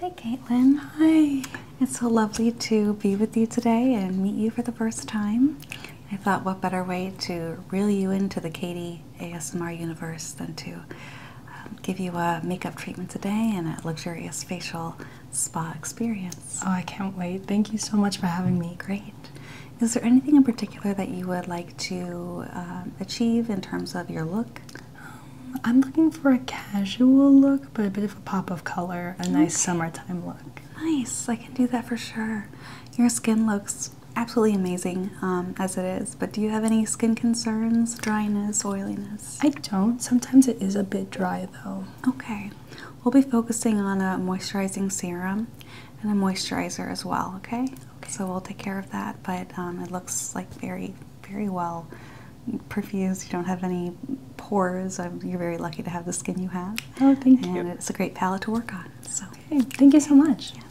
Hi, Caitlin. Hi. It's so lovely to be with you today and meet you for the first time. I thought, what better way to reel you into the Katie ASMR universe than to um, give you a makeup treatment today and a luxurious facial spa experience. Oh, I can't wait. Thank you so much for having me. Great. Is there anything in particular that you would like to um, achieve in terms of your look? Um, I'm looking for a casual look, but a bit of a pop of color, a nice summertime look. Nice. I can do that for sure. Your skin looks absolutely amazing um, as it is, but do you have any skin concerns? Dryness, oiliness? I don't. Sometimes it is a bit dry though. Okay. We'll be focusing on a moisturizing serum and a moisturizer as well, okay? So we'll take care of that, but um, it looks like very, very well perfused. You don't have any pores. Um, you're very lucky to have the skin you have. Oh, thank and you. And it's a great palette to work on. So. thank you so much. Yes.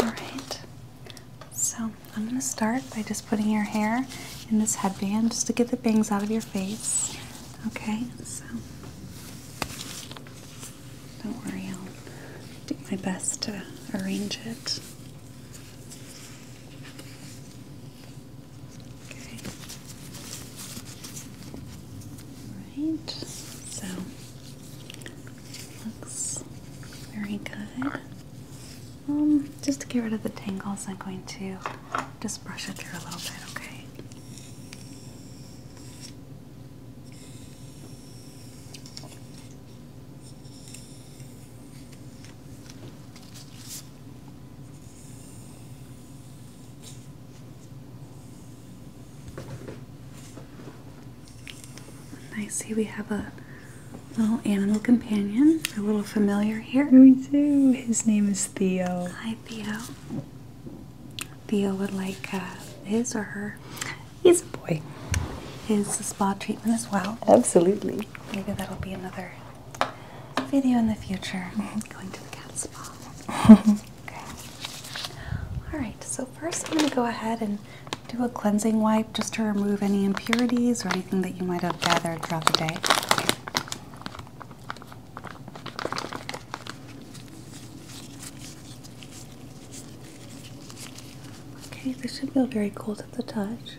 Alright, so I'm going to start by just putting your hair in this headband just to get the bangs out of your face. Okay, so don't worry, I'll do my best to arrange it. Okay. Alright, so looks very good. Um, just to get rid of the tangles, I'm going to just brush it through a little bit, okay? I see we have a little animal companion, a little familiar here. We do. His name is Theo. Hi, Theo. Theo would like uh, his or her. He's a boy. Is the spa treatment as well? Absolutely. Maybe that'll be another video in the future. Mm-hmm. Going to the cat spa. Okay. Alright, so first I'm going to go ahead and do a cleansing wipe just to remove any impurities or anything that you might have gathered throughout the day. Okay, this should feel very cold at the touch.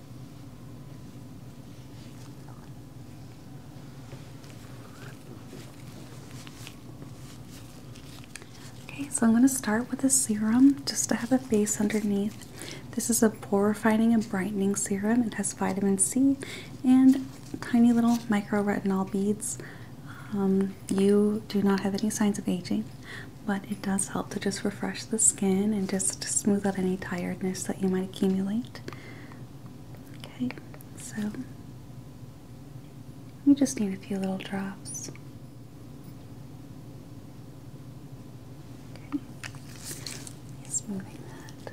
Okay, so I'm going to start with a serum just to have a base underneath. This is a pore refining and brightening serum. It has vitamin C and tiny little micro retinol beads. Um, you do not have any signs of aging but it does help to just refresh the skin and just smooth out any tiredness that you might accumulate. Okay, so you just need a few little drops. Okay, just moving that.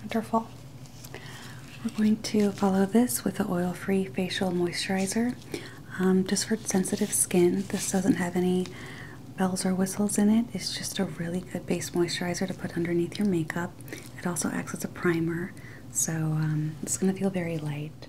Wonderful. We're going to follow this with an oil free facial moisturizer. Um, just for sensitive skin, this doesn't have any bells or whistles in it. It's just a really good base moisturizer to put underneath your makeup. It also acts as a primer, so um, it's going to feel very light.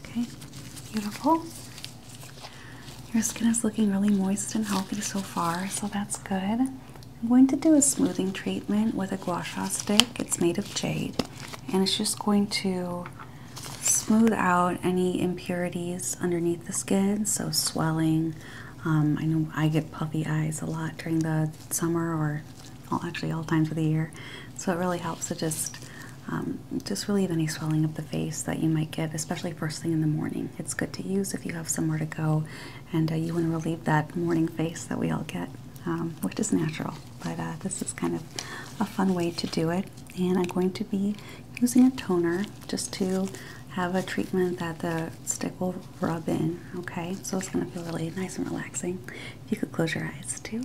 Okay, beautiful. Your skin is looking really moist and healthy so far, so that's good. I'm going to do a smoothing treatment with a gua sha stick. It's made of jade and it's just going to smooth out any impurities underneath the skin, so swelling. Um, I know I get puffy eyes a lot during the summer, or actually all times of the year. So it really helps to just um, just relieve any swelling of the face that you might get, especially first thing in the morning. It's good to use if you have somewhere to go, and uh, you want to relieve that morning face that we all get, um, which is natural. But uh, this is kind of a fun way to do it and I'm going to be using a toner just to have a treatment that the stick will rub in. Okay, so it's going to feel really nice and relaxing. If you could close your eyes too.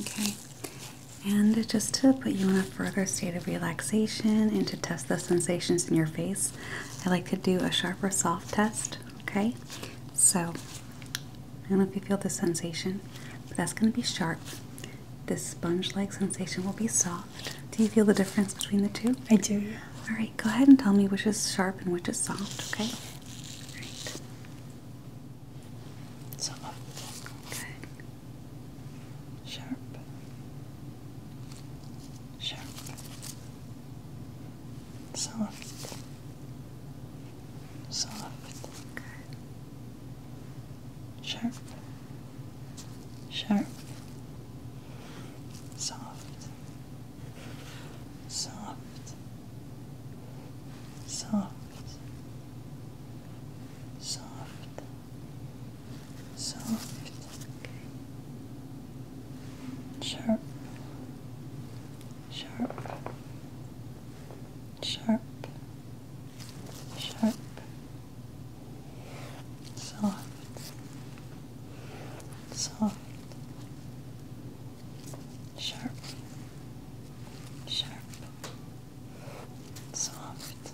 Okay, and just to put you in a further state of relaxation and to test the sensations in your face, I like to do a sharp or soft test. Okay, so I don't know if you feel this sensation, but that's going to be sharp. This sponge-like sensation will be soft. Do you feel the difference between the two? I do. All right, go ahead and tell me which is sharp and which is soft, okay? All right. Soft. Good. Sharp. Sharp. Soft soft, sharp, sharp, soft, soft, soft, soft, soft, sharp, sharp sharp, sharp, soft, soft, sharp, sharp, soft,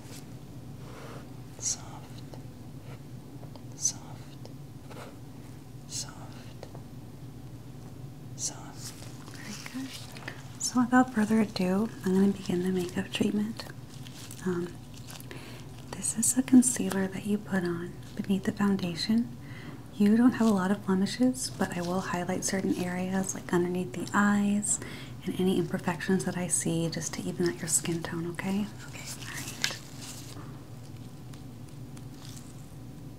soft, soft, soft, so, very good. So, without further ado, I'm going to begin the makeup treatment. Um, this is a concealer that you put on beneath the foundation. You don't have a lot of blemishes, but I will highlight certain areas like underneath the eyes and any imperfections that I see just to even out your skin tone, okay? Okay, all right.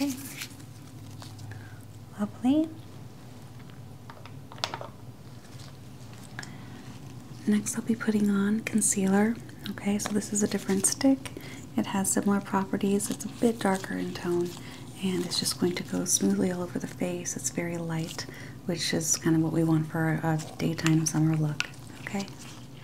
Okay. Lovely. Next, I'll be putting on concealer. Okay, so this is a different stick. It has similar properties. It's a bit darker in tone and it's just going to go smoothly all over the face. It's very light, which is kind of what we want for a daytime summer look. Okay.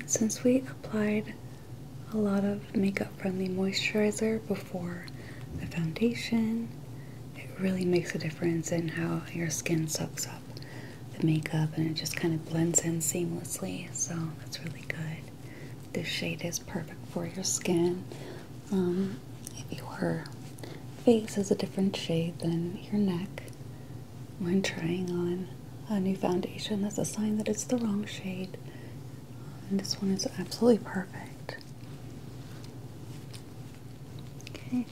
And since we applied a lot of makeup friendly moisturizer before the foundation. It really makes a difference in how your skin soaks up the makeup and it just kind of blends in seamlessly. So that's really good. This shade is perfect for your skin. Um, if your face is a different shade than your neck when trying on a new foundation, that's a sign that it's the wrong shade this one is absolutely perfect. Okay.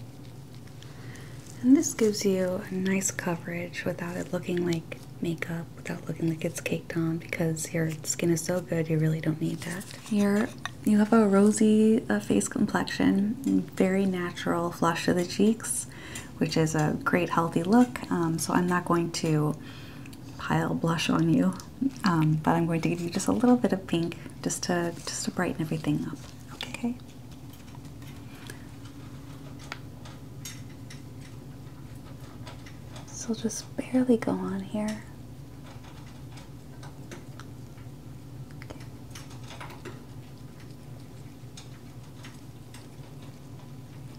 And this gives you a nice coverage without it looking like makeup, without looking like it's caked on because your skin is so good you really don't need that. You're, you have a rosy uh, face complexion, very natural flush to the cheeks, which is a great healthy look. Um, so I'm not going to pile blush on you, um, but I'm going to give you just a little bit of pink just to just to brighten everything up. Okay. So just barely go on here.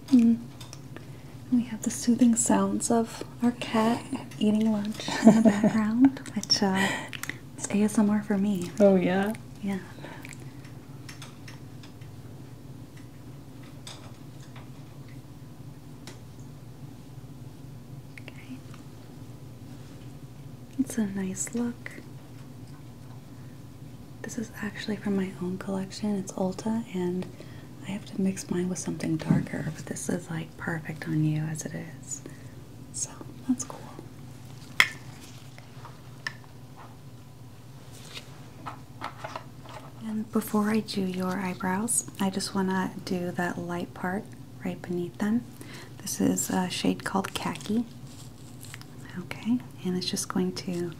Mm. We have the soothing sounds of our cat eating lunch in the background, which uh, is ASMR for me. Oh, yeah? Yeah. Okay. It's a nice look. This is actually from my own collection. It's Ulta and I have to mix mine with something darker, but this is like perfect on you as it is. So that's cool. And before I do your eyebrows, I just want to do that light part right beneath them. This is a shade called Khaki. Okay, and it's just going to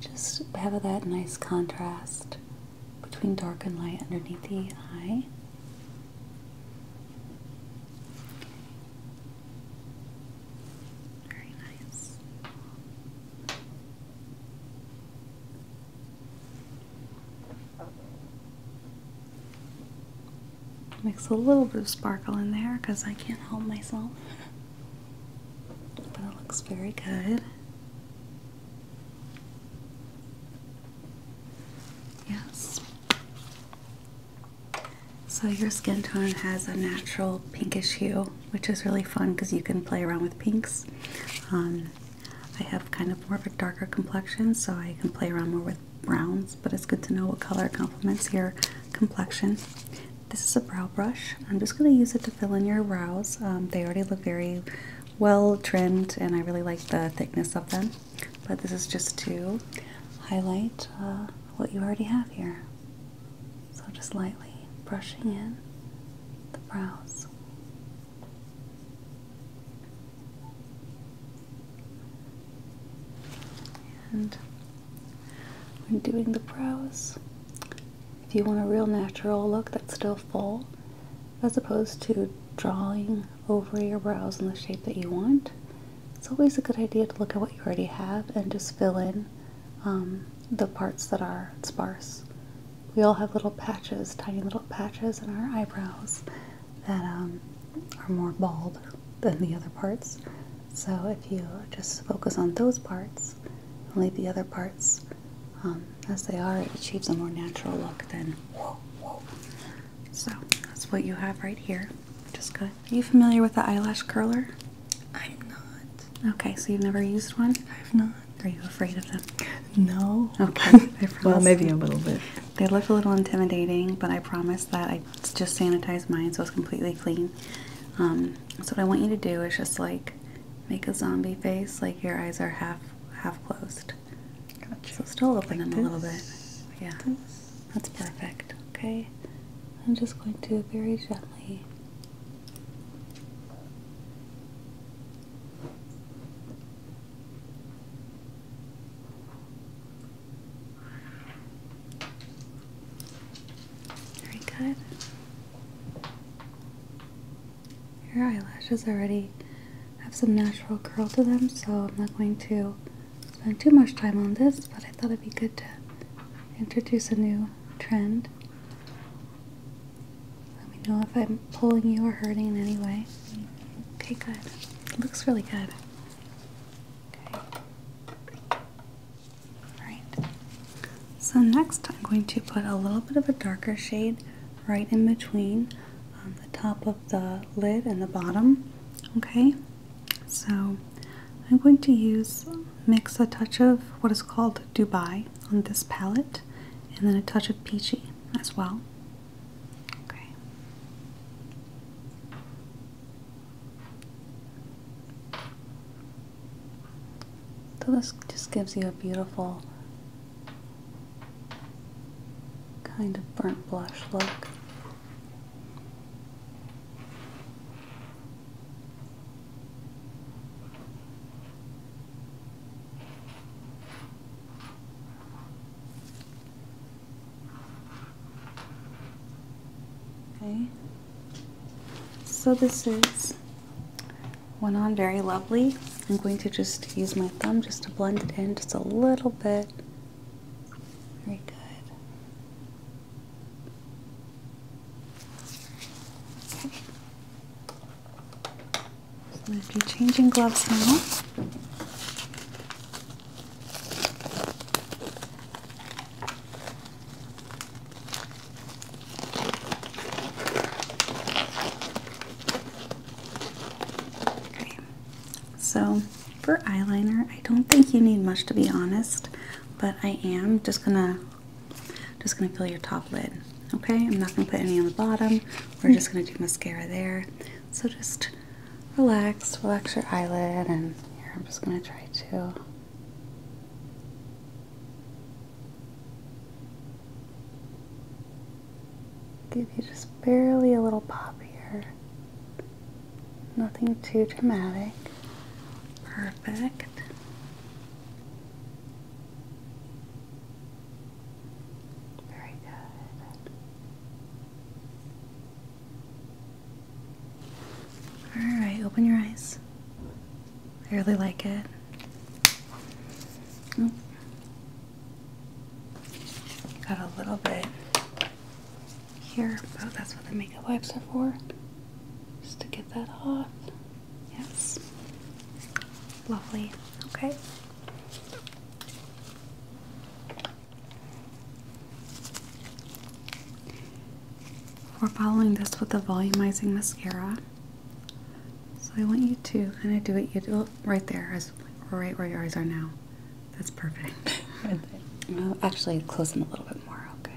just have that nice contrast between dark and light underneath the eye. Very nice. Makes a little bit of sparkle in there because I can't hold myself. But it looks very good. Yes. So your skin tone has a natural pinkish hue, which is really fun because you can play around with pinks. Um, I have kind of more of a darker complexion, so I can play around more with browns, but it's good to know what color complements your complexion. This is a brow brush. I'm just going to use it to fill in your brows. Um, they already look very well trimmed and I really like the thickness of them. But this is just to highlight uh, what you already have here. So just lightly brushing in the brows. And when doing the brows, if you want a real natural look that's still full, as opposed to drawing over your brows in the shape that you want, it's always a good idea to look at what you already have and just fill in um, the parts that are sparse. We all have little patches, tiny little patches in our eyebrows that um, are more bald than the other parts. So if you just focus on those parts leave the other parts um, as they are, it achieves a more natural look than whoa, whoa. So that's what you have right here. Just good. Are you familiar with the eyelash curler? I'm not. Okay, so you've never used one? I've not. Are you afraid of them? No. Okay. well, maybe a little bit. They look a little intimidating, but I promise that I just sanitized mine so it's completely clean. Um, so what I want you to do is just like Make a zombie face like your eyes are half half closed. Gotcha. So still open them a little bit. Yeah. That's perfect. Okay. I'm just going to very gently very good. Your eyelashes already have some natural curl to them, so I'm not going to spend too much time on this, but I thought it'd be good to introduce a new trend. Let me know if I'm pulling you or hurting in any way. Okay, good. looks really good. Okay. Alright. So next I'm going to put a little bit of a darker shade right in between um, the top of the lid and the bottom. Okay, so I'm going to use mix a touch of what is called Dubai on this palette and then a touch of peachy as well. Okay. So this just gives you a beautiful kind of burnt blush look. Okay. So this is went on very lovely. I'm going to just use my thumb just to blend it in just a little bit. Very good. I'm going to be changing gloves now. Okay, so for eyeliner, I don't think you need much to be honest, but I am just gonna just gonna fill your top lid. Okay, I'm not gonna put any on the bottom. We're just gonna do mascara there. So just relax, relax your eyelid, and here I'm just gonna try to. Give you just barely a little pop here. Nothing too dramatic. Perfect. Very good. All right, open your eyes. I really like it. Got a little bit here, Oh, that's what the makeup wipes are for. Just to get that off. Yes. Lovely. Okay. We're following this with the volumizing mascara. So I want you to kind of do what you do right there, right where your eyes are now. That's perfect. right well, actually, close them a little bit more, Okay.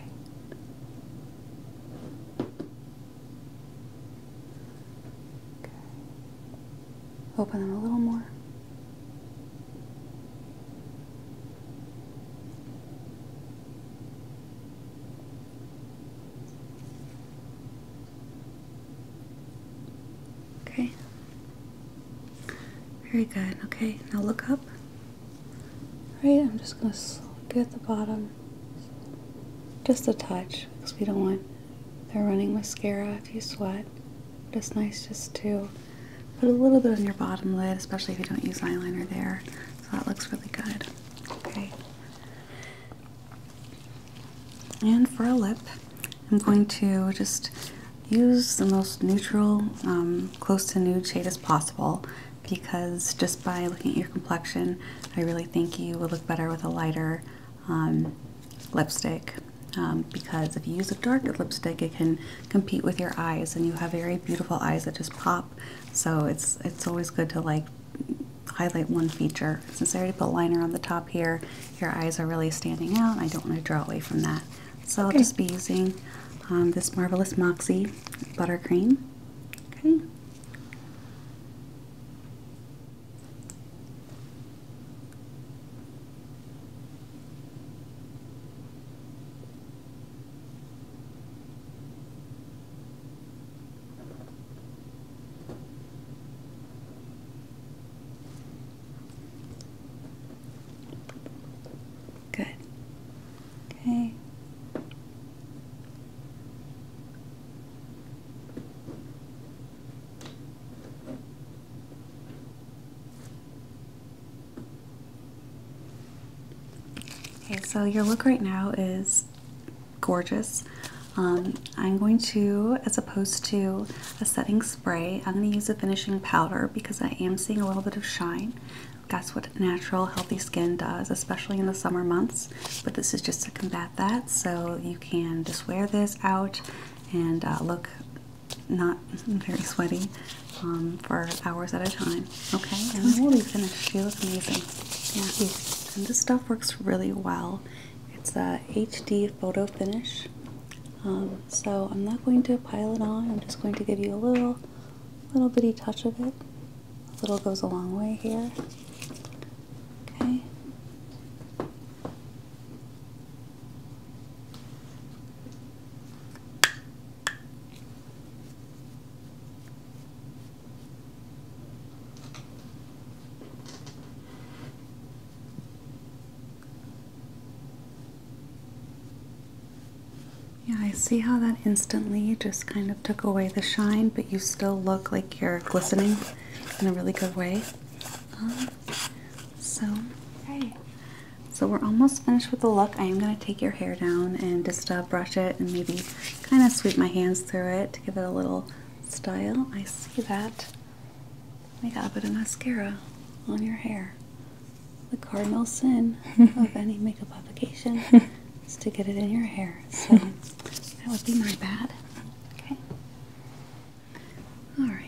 Open them a little more. Okay. Very good. Okay, now look up. Alright, I'm just going to slip you at the bottom. Just a touch, because we don't want They're running mascara if you sweat. But it's nice just to put a little bit on your bottom lid, especially if you don't use eyeliner there. So that looks really good. Okay. And for a lip, I'm going to just use the most neutral, um, close to nude shade as possible because just by looking at your complexion, I really think you would look better with a lighter um, lipstick. Um, because if you use a darker lipstick, it can compete with your eyes, and you have very beautiful eyes that just pop. So it's it's always good to like highlight one feature. Since I already put liner on the top here, your eyes are really standing out. I don't want to draw away from that. So I'll just be using um, this Marvelous Moxie Buttercream. Okay. Good. Okay. Okay, so your look right now is gorgeous. Um, I'm going to, as opposed to a setting spray, I'm going to use a finishing powder because I am seeing a little bit of shine. That's what natural healthy skin does, especially in the summer months. But this is just to combat that, so you can just wear this out and uh, look not very sweaty um, for hours at a time. Okay, and I will be finished. You look amazing. Yeah, and this stuff works really well. It's a HD photo finish. Um, so I'm not going to pile it on. I'm just going to give you a little, little bitty touch of it. A little goes a long way here. Okay. Yeah, I see how that instantly just kind of took away the shine, but you still look like you're glistening in a really good way. Um, so, So, we're almost finished with the look. I am going to take your hair down and just uh, brush it and maybe kind of sweep my hands through it to give it a little style. I see that. We got a bit of mascara on your hair. The cardinal sin of any makeup application is to get it in your hair. So that would be my bad. Okay. All right.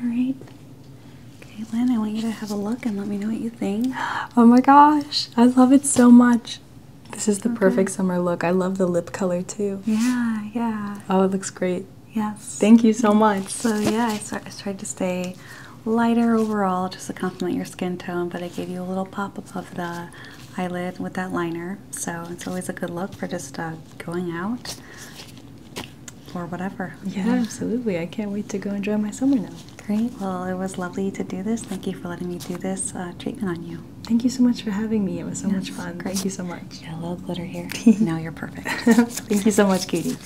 Alright. Caitlin, I want you to have a look and let me know what you think. Oh my gosh. I love it so much. This is the perfect summer look. I love the lip color too. Yeah, yeah. Oh, it looks great. Yes. Thank you so much. So yeah, I, tried to stay lighter overall just to complement your skin tone, but I gave you a little pop above the eyelid with that liner. So it's always a good look for just uh, going out or whatever. Yeah, absolutely. I can't wait to go enjoy my summer now. Great. Well, it was lovely to do this. Thank you for letting me do this uh, treatment on you. Thank you so much for having me. It was so much fun. Thank you so much. Got a little glitter here. now you're perfect. Thank you so much, Katie.